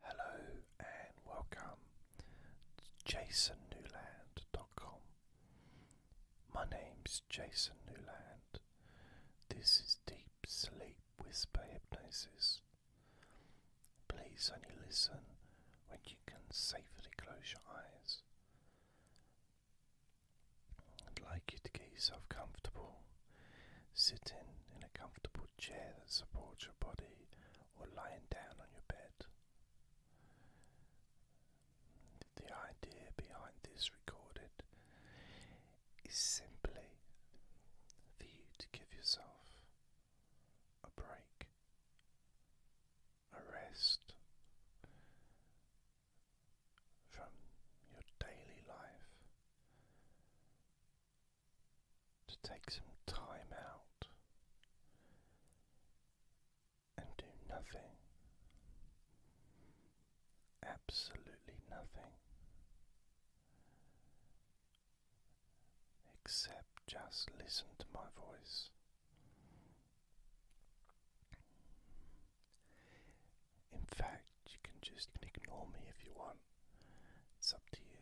Hello and welcome to jasonnewland.com. My name's Jason Newland. This is Deep Sleep Whisper Hypnosis. Please only listen when you can safely close your eyes. I'd like you to get yourself comfortable sitting in a comfortable chair that supports your body, or lying down on your bed. The idea behind this recorded is simply for you to give yourself a break, a rest from your daily life, to take some time out and do nothing, absolutely nothing, except just listen to my voice. In fact, you can just ignore me if you want. It's up to you.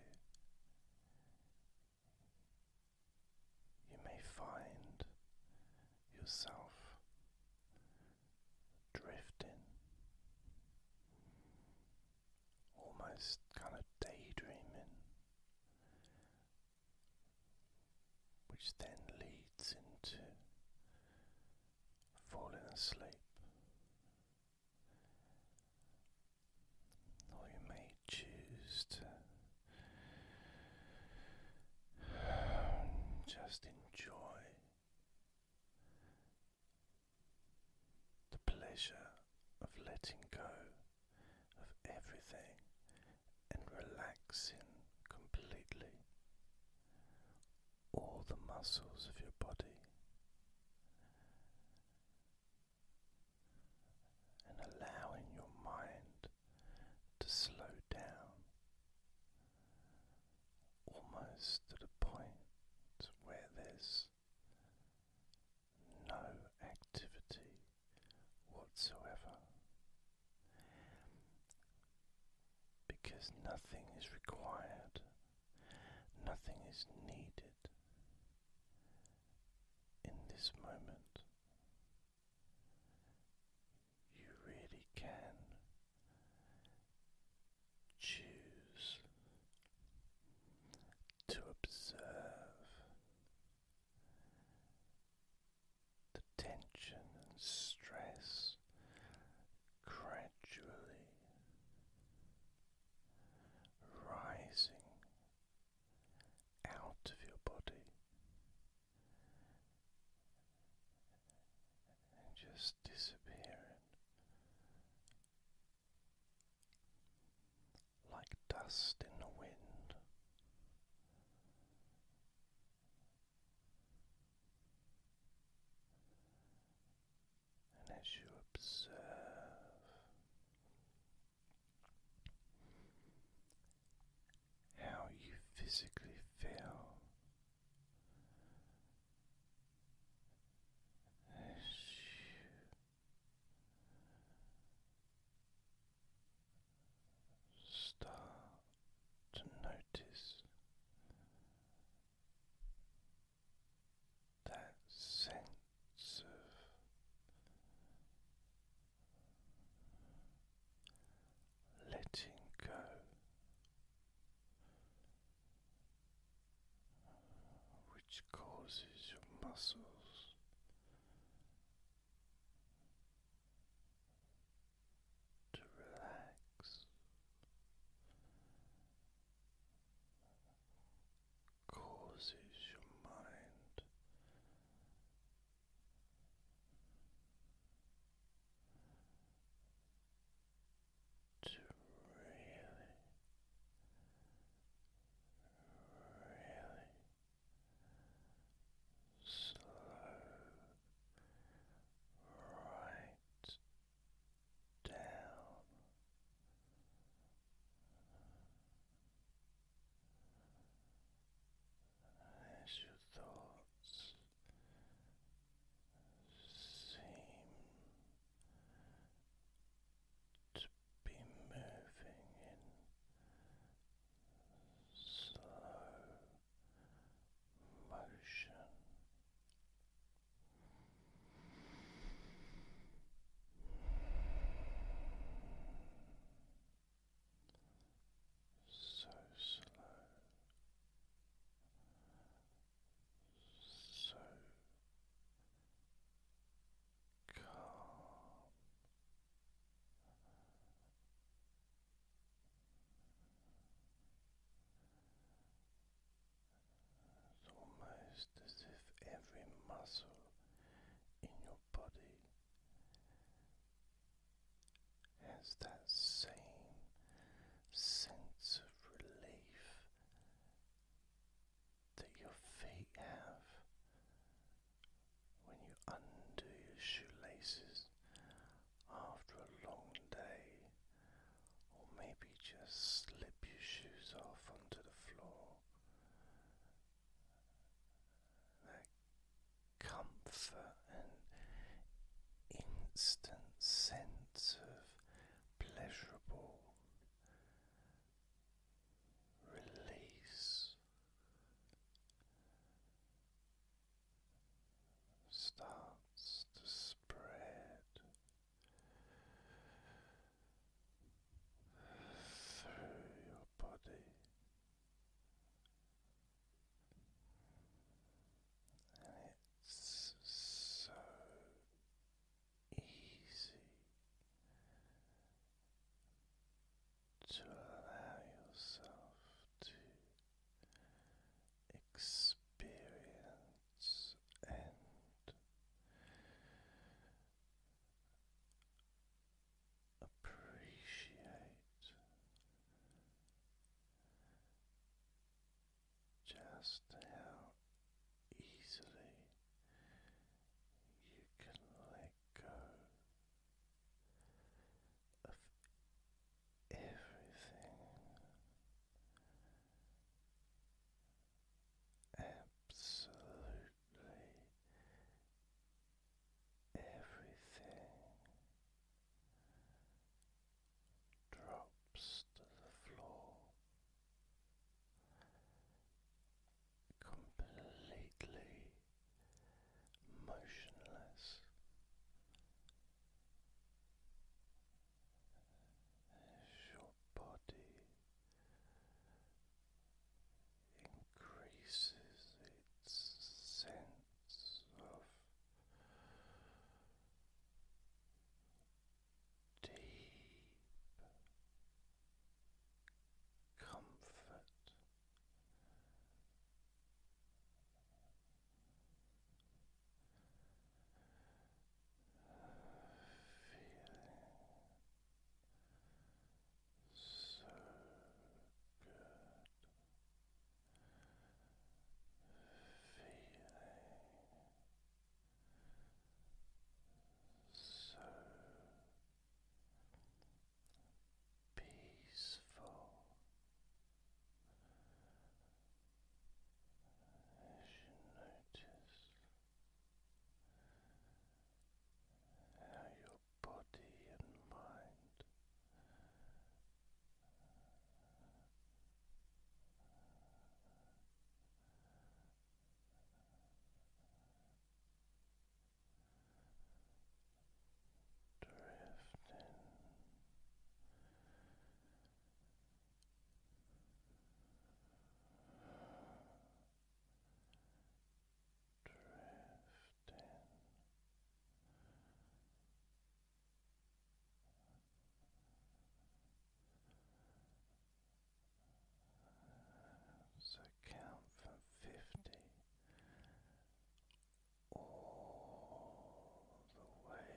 You may find yourself drifting, almost kind of daydreaming, which then leads into falling asleep. Or you may choose to just enjoy the pleasure of letting go of everything and relaxing completely all the muscles of your body and allowing your mind to slow down almost to the point where there's no activity whatsoever because nothing is required, nothing is needed in this moment, you really can choose to observe the tension and stress gradually rising out of your body and just disappearing like dust in the wind and as you observe how you physically feel as you start to notice that sense of letting go. Which causes your muscles to relax, causes your mind to really, really slow right down as your thoughts seem to be moving in slow motion. So slow, so calm, it's almost as if every muscle in your body has that same sense of relief that your feet have when you undo your shoelaces after a long day, or maybe just slip your shoes off onto the floor that comfort and instant sense of pleasurable release. Starts to spread through your body and it's so easy to allow yourself to experience and Appreciate just how easily you can let go of everything absolutely everything drops to the floor. Completely motionless, your body increases its sense of deep comfort so good. Feeling so peaceful as you notice how your body and mind drifting so count from fifty all the way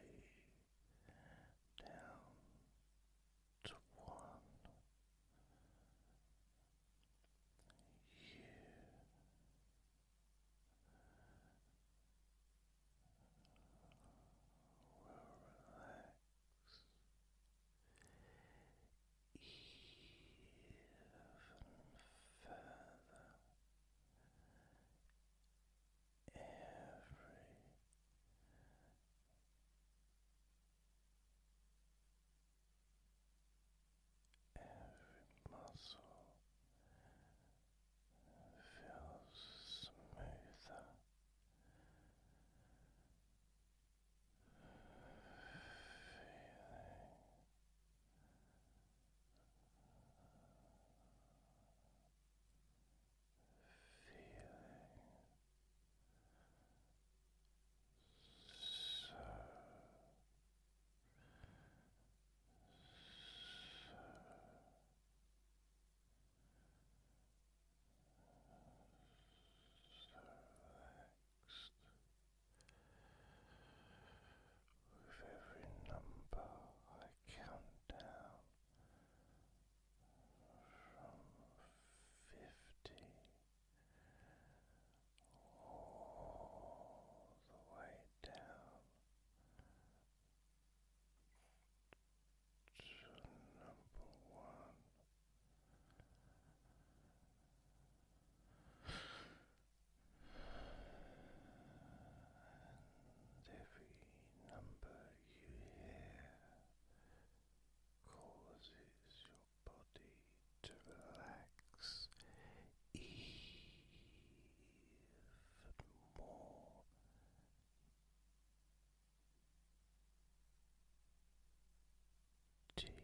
down to one. You will relax even further. Every Every muscle feels smoother, feeling so, so, so relaxed with every number I count down fifty all the way down to number one. And every number you hear causes your body to relax even more. Deeply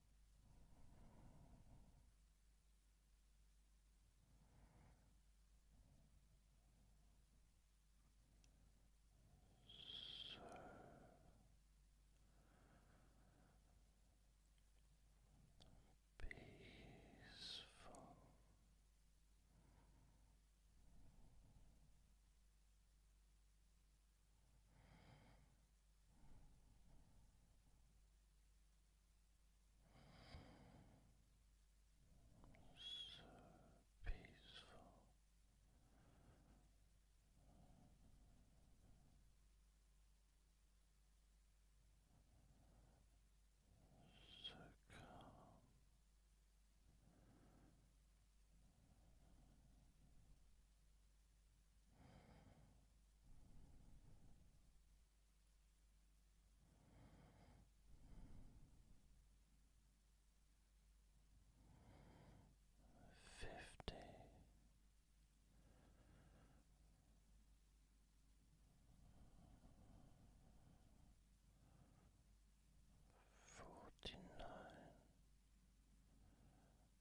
peaceful. Relaxed. So peaceful. So calm. Fifty. Forty nine, Forty-eight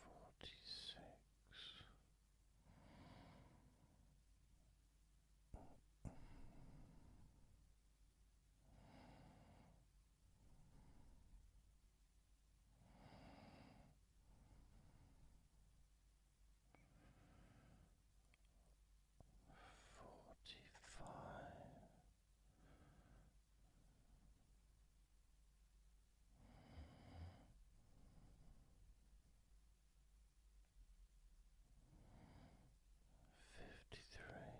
forty six forty five fifty three.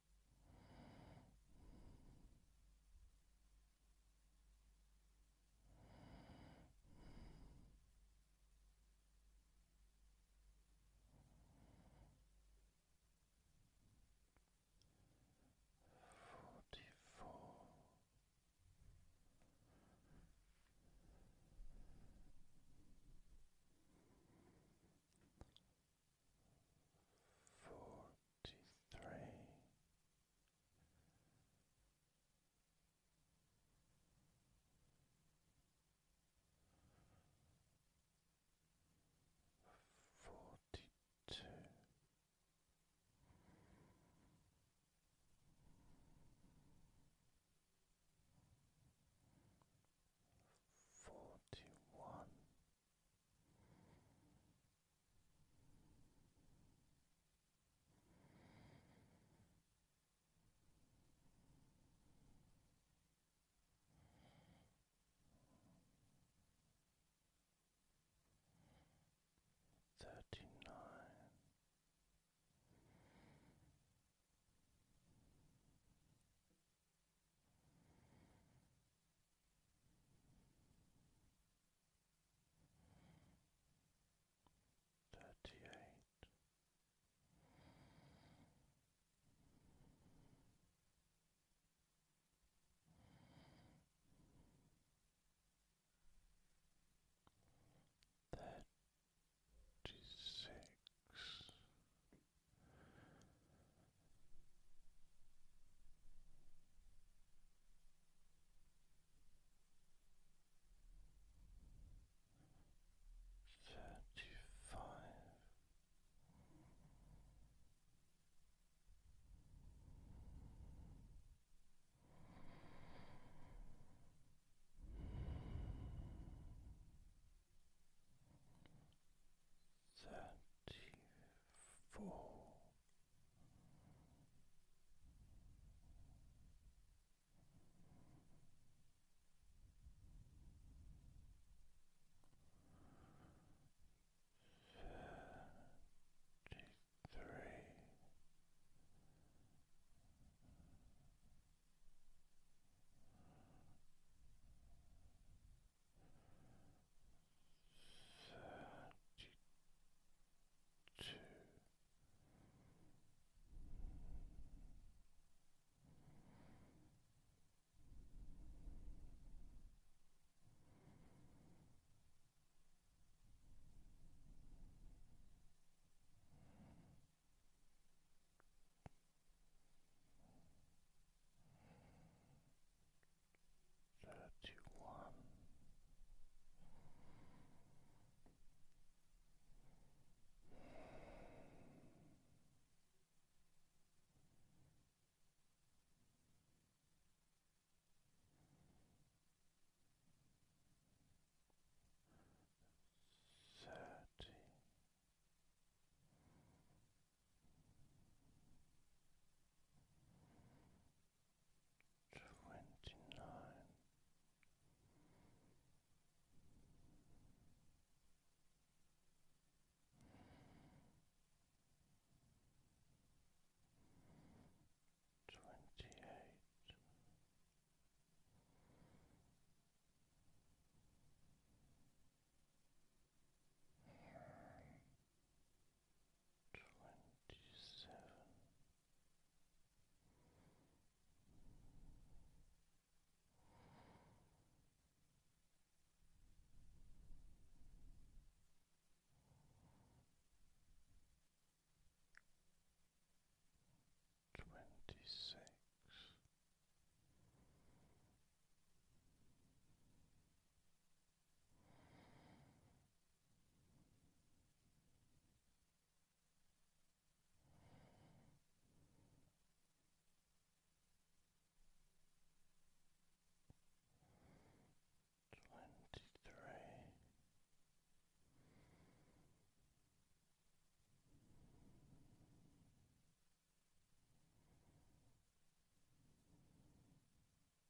Forty-four forty three. Forty two, forty one. Thirty nine. Thirty-eight. Thirty six, Thirty five. Thirty four. Thirty-three, thirty-two thirty one. Thirty twenty nine. Twenty eight, twenty-seven twenty-six Twenty-three.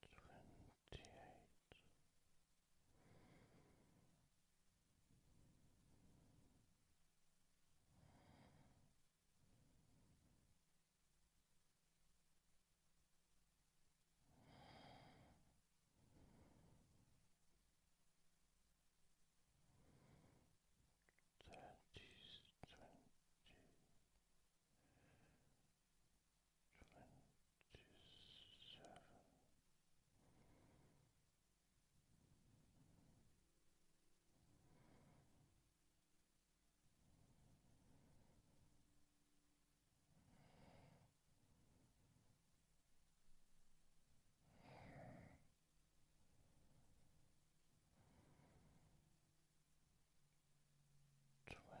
Twenty eight. Thirties, twenty, twenty-seven. Twenty one.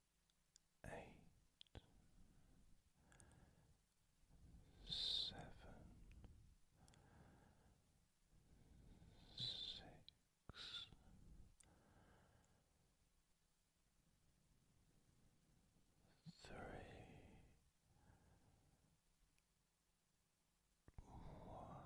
eight, seven, six. Three, one.